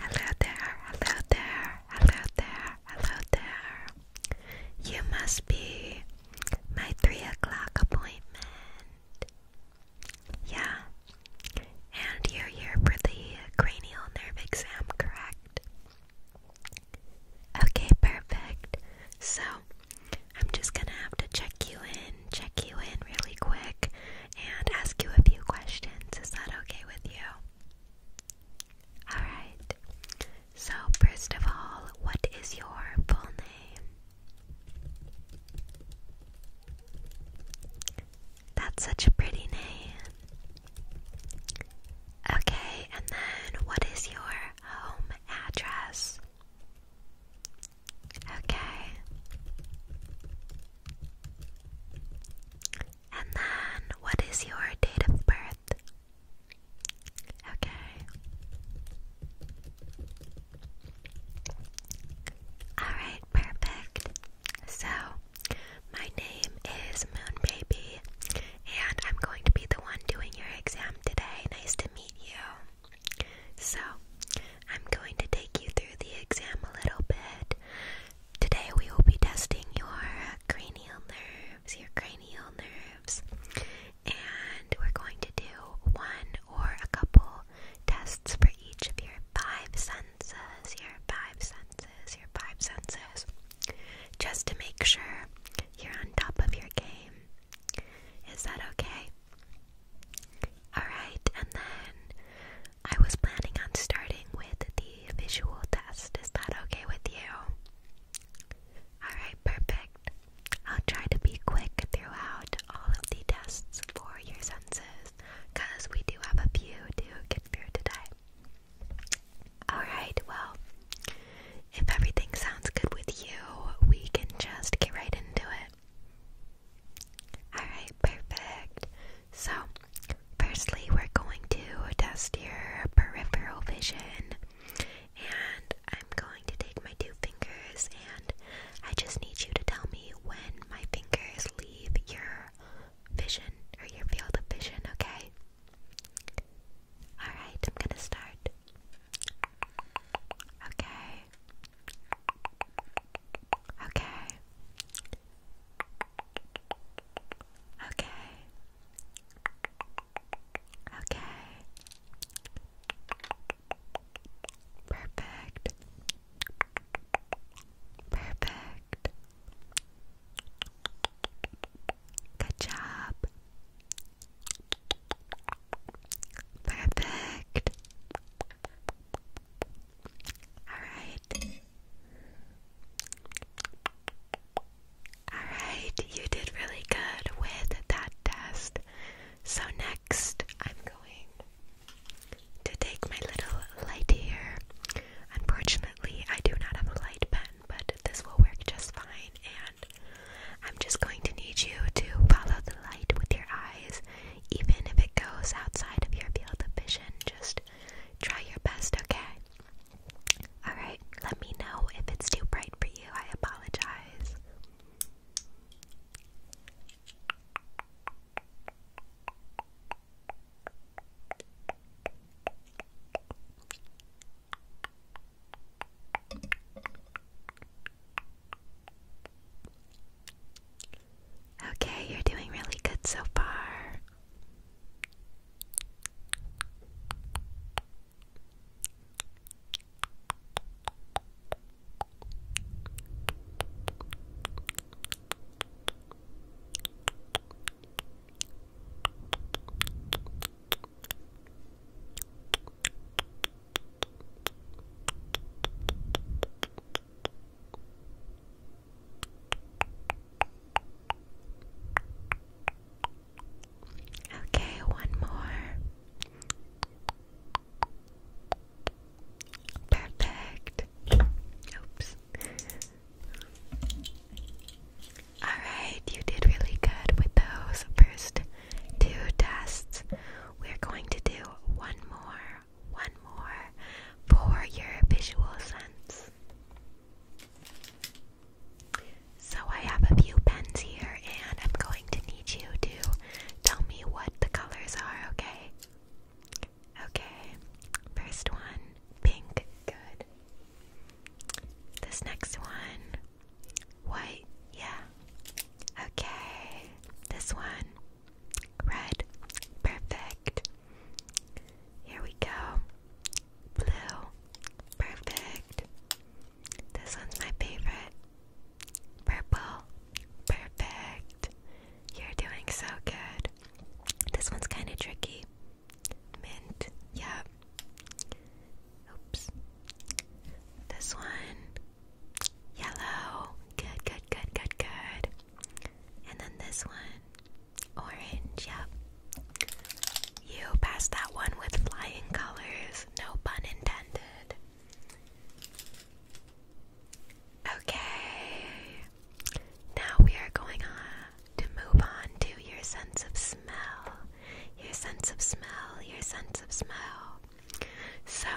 Hello there, hello there, hello there, hello there. You must be my three o'clock appointment. Yeah. And you're here for the cranial nerve exam, correct? Okay, perfect. So, I'm just gonna have to check you in, check you in really quick and ask you a few questions. Is that okay with you? Alright. So, first of all, what is your full name? That's such a pretty name. Okay, and then what is your home address? Okay. And then, what is your date of birth? Okay. Alright, perfect. So, my name is Moon Baby, and I'm going to be the one doing your exam today. Nice to meet you. So, I'm going to take you through the exam a little bit. Today we will be testing your cranial nerves, your cranial nerves, and we're going to do one or a couple tests for each of your five senses, your five senses, your five senses, just to make sure you're on top of your game. Is that okay? Alright, and then I was planning on starting with the visual test. Is that okay with you? Alright, perfect. I'll try to be quick throughout all of the tests for your senses because we do have a few to get through today. Alright, well, if everything sounds good with you, we can just get right into it. Alright, perfect. So, firstly, we're going to test your peripheral vision. And I'm going to take my two fingers, and I just need you to tell me when my fingers leave your vision or your field of vision, okay? Alright, I'm gonna start. Okay, Okay. Okay. Okay. Perfect. Perfect. Good job. Perfect. Alright. Alright, you did really good with that test. So, next, I'm going to take my little light here. Unfortunately, I do not have a light pen, but this will work just fine. And I'm just going to need you to follow the light with your eyes even if it goes outside of your field of vision, just try your best, okay? Alright, let me know if it's too bright for you. I apologize. Okay, you're doing really good so far. Okay, one more. Perfect. Oops. Alright, you did really good with those first two tests. We're going to do one more, one more for your visual sense. So I have a few pens here and I'm going to need you to tell me what the colors are, okay? Okay. First one, pink. Good. This next one, White, yeah. Okay, this one. Red, perfect. Here we go. Blue, perfect. This one's my favorite. Purple, perfect. You're doing so good. This one's kind of tricky. Mint, yep. Oops. This one, Yellow. Good, good, good, good, good. And then this one. Orange, yep. You passed that one with flying colors. No pun intended. Okay. Now we are going on to move on to your sense of smell. Your sense of smell, your sense of smell. So,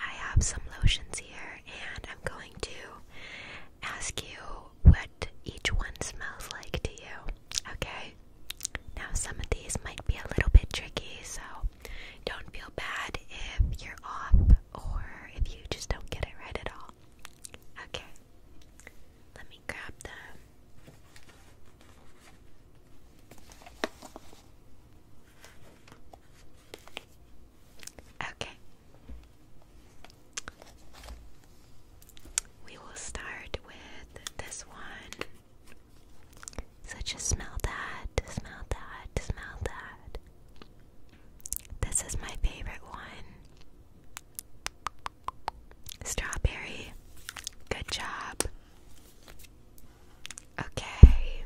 I have some lotions here, and I'm going to ask you what each one smells like to you, okay? Now, some of these might be a little bit tricky, so don't feel bad if you're off or if you just don't get it right at all. Okay, let me grab them. Okay. We will start with this one. So just smell that, smell that, smell that. This is my favorite one. Strawberry. Good job. Okay.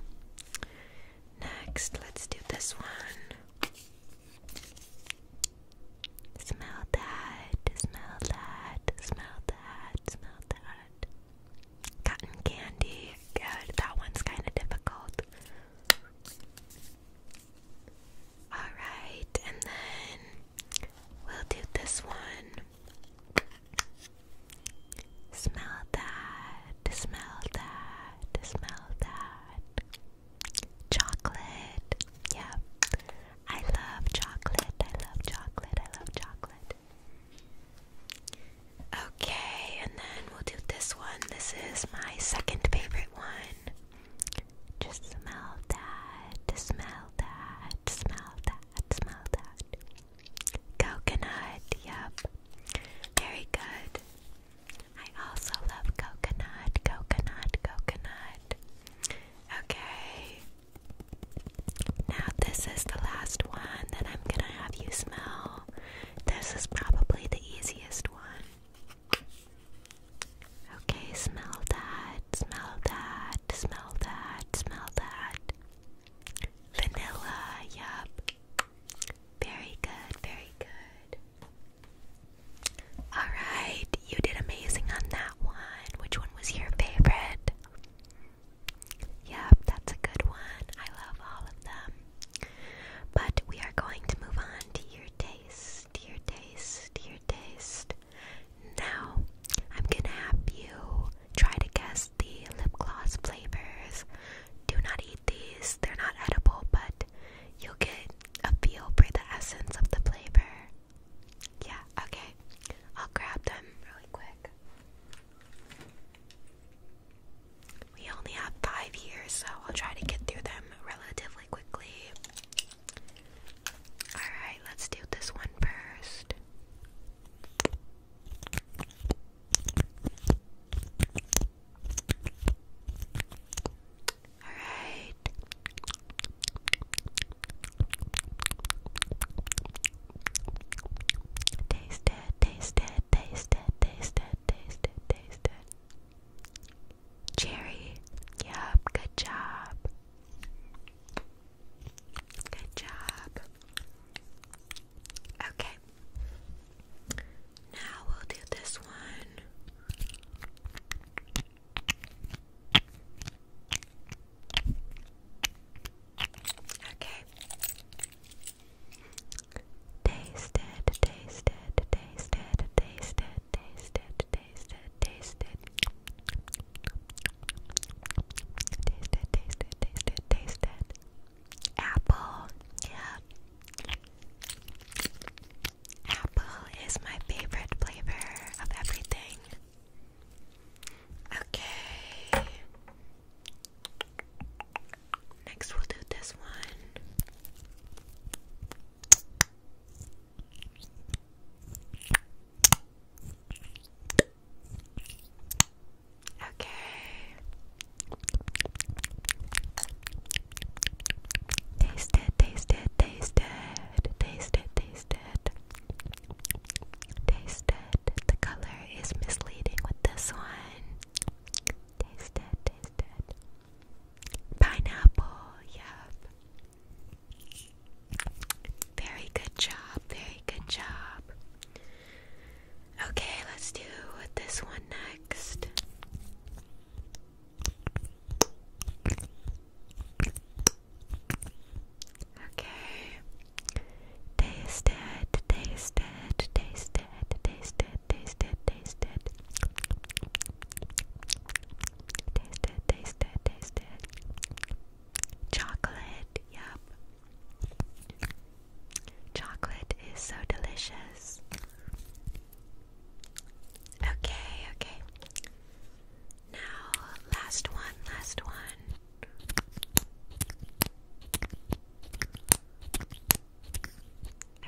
Next, let's do this one. Smell that, smell that, smell that, smell that. Cotton candy. Good. That one's kind of difficult. Alright, and then we'll do this one. Smell that, smell that, smell that. Chocolate. Yeah. I love chocolate. I love chocolate. I love chocolate. Okay, and then we'll do this one. This is my second favorite one. Just smell that, smell that, smell that smell that. Coconut, yep. Very good. I also love coconut, coconut, coconut. Okay. Now, this is the last one that I'm gonna have you smell. This is probably the easiest one. Okay, smell that, smell that smell that, smell that. Vanilla, yup. Very good, very good. Alright, you did amazing on that one. Which one was your favorite? Yep, that's a good one. I love all of them. But we are going to move on to your taste, your taste, your taste. Now, I'm gonna have you try to guess the lip gloss flavors. Do not eat these, they're not edible, but you'll get a feel for the essence of the flavor. Yeah, okay. I'll grab them really quick. We only have five here, so I'll try to get through them relatively quickly. Alright, let's do this one first. Alright. Taste it, taste it, taste it, taste it, taste it, taste it. Cherry. Yup, good job. Good job. Okay. Now we'll do this one. Okay. Taste it, taste it, it, taste it, taste it, taste it. Taste it, taste it, taste it, taste it. Apple, yeah. Apple is my favorite flavor of everything. Okay. Next, we'll do this one. Okay. Taste it, taste it, taste it, The color is misleading with this one. Taste it, Pineapple, yep. Very good job, very good job. Okay, let's do this one next. Okay. Taste it, taste it, taste it, taste it, taste it, taste it. Taste it, taste Chocolate, yep. Chocolate is so delicious. Okay, okay. Now, last one, last one.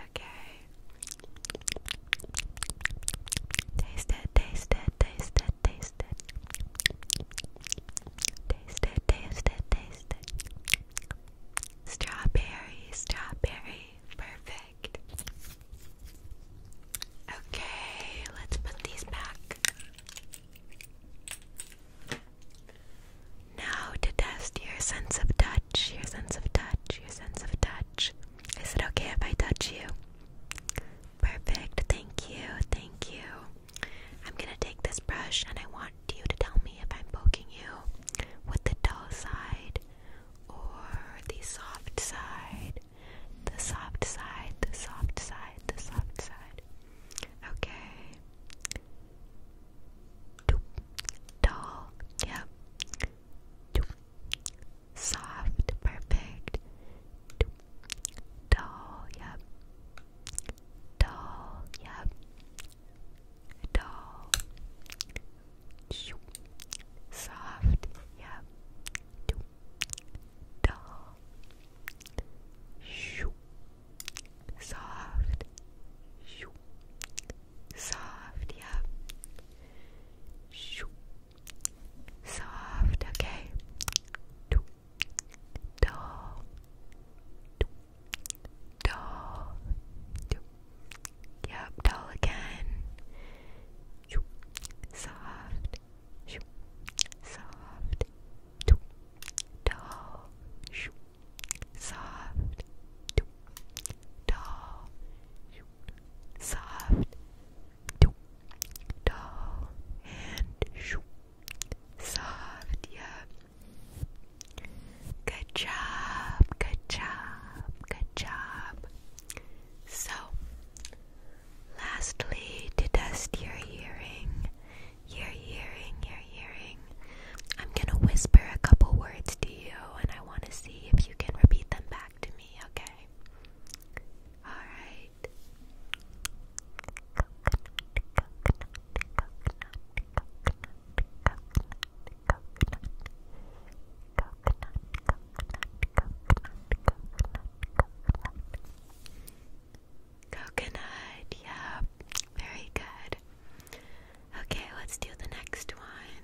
Okay. Taste it, taste it, taste it, taste it. Taste it, taste it, taste it. Strawberry, strawberry. Perfect. Okay, let's put these back. Now to test your sense of touch, your sense of touch, your sense of touch. Is it okay if I touch you? Perfect. Thank you. Thank you. I'm going to take this brush and I want you to tell me if I'm poking you with the dull side or the soft side. The soft side, the soft side, the soft side. Okay. Dull. Yep soft, perfect, dull, yep, dull, yep, dull, soft, yep, dull, soft, soft, yep. Soft, okay. Do, do, do, do. Yep, doll again. Soft, soft, do, do, soft, do, Doll, soft, doll, and soft, yeah. Good job, good job, good job. So, lastly, to test your hearing, your hearing, your hearing, I'm gonna whisper a couple words to you and I want to see if you can repeat them back to me, okay? Alright. Coconut, yeah, very good. Okay, let's do the next one.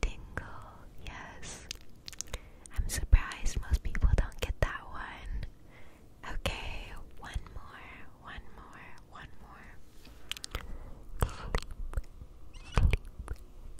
Tingle, yes. I'm surprised most people don't get that one. Okay, one more, one more, one more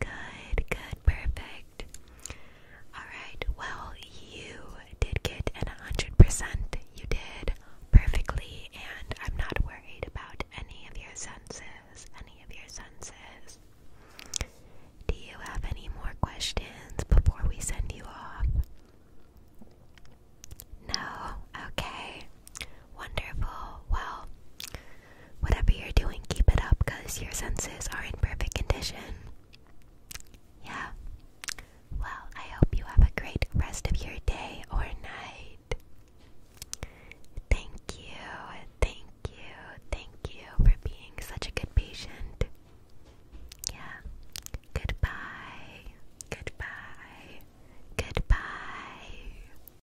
Good, good, perfect. Alright, well, you did get an 100%. You did perfectly, and I'm not worried about any of your senses. Any of your senses. Do you have any more questions before we send you off? No? Okay. Wonderful. Well, whatever you're doing, keep it up because your senses are in perfect condition. Yeah. Well, I hope you have a great rest of your day or night. Thank you, thank you, thank you for being such a good patient. Yeah. Goodbye, goodbye, goodbye.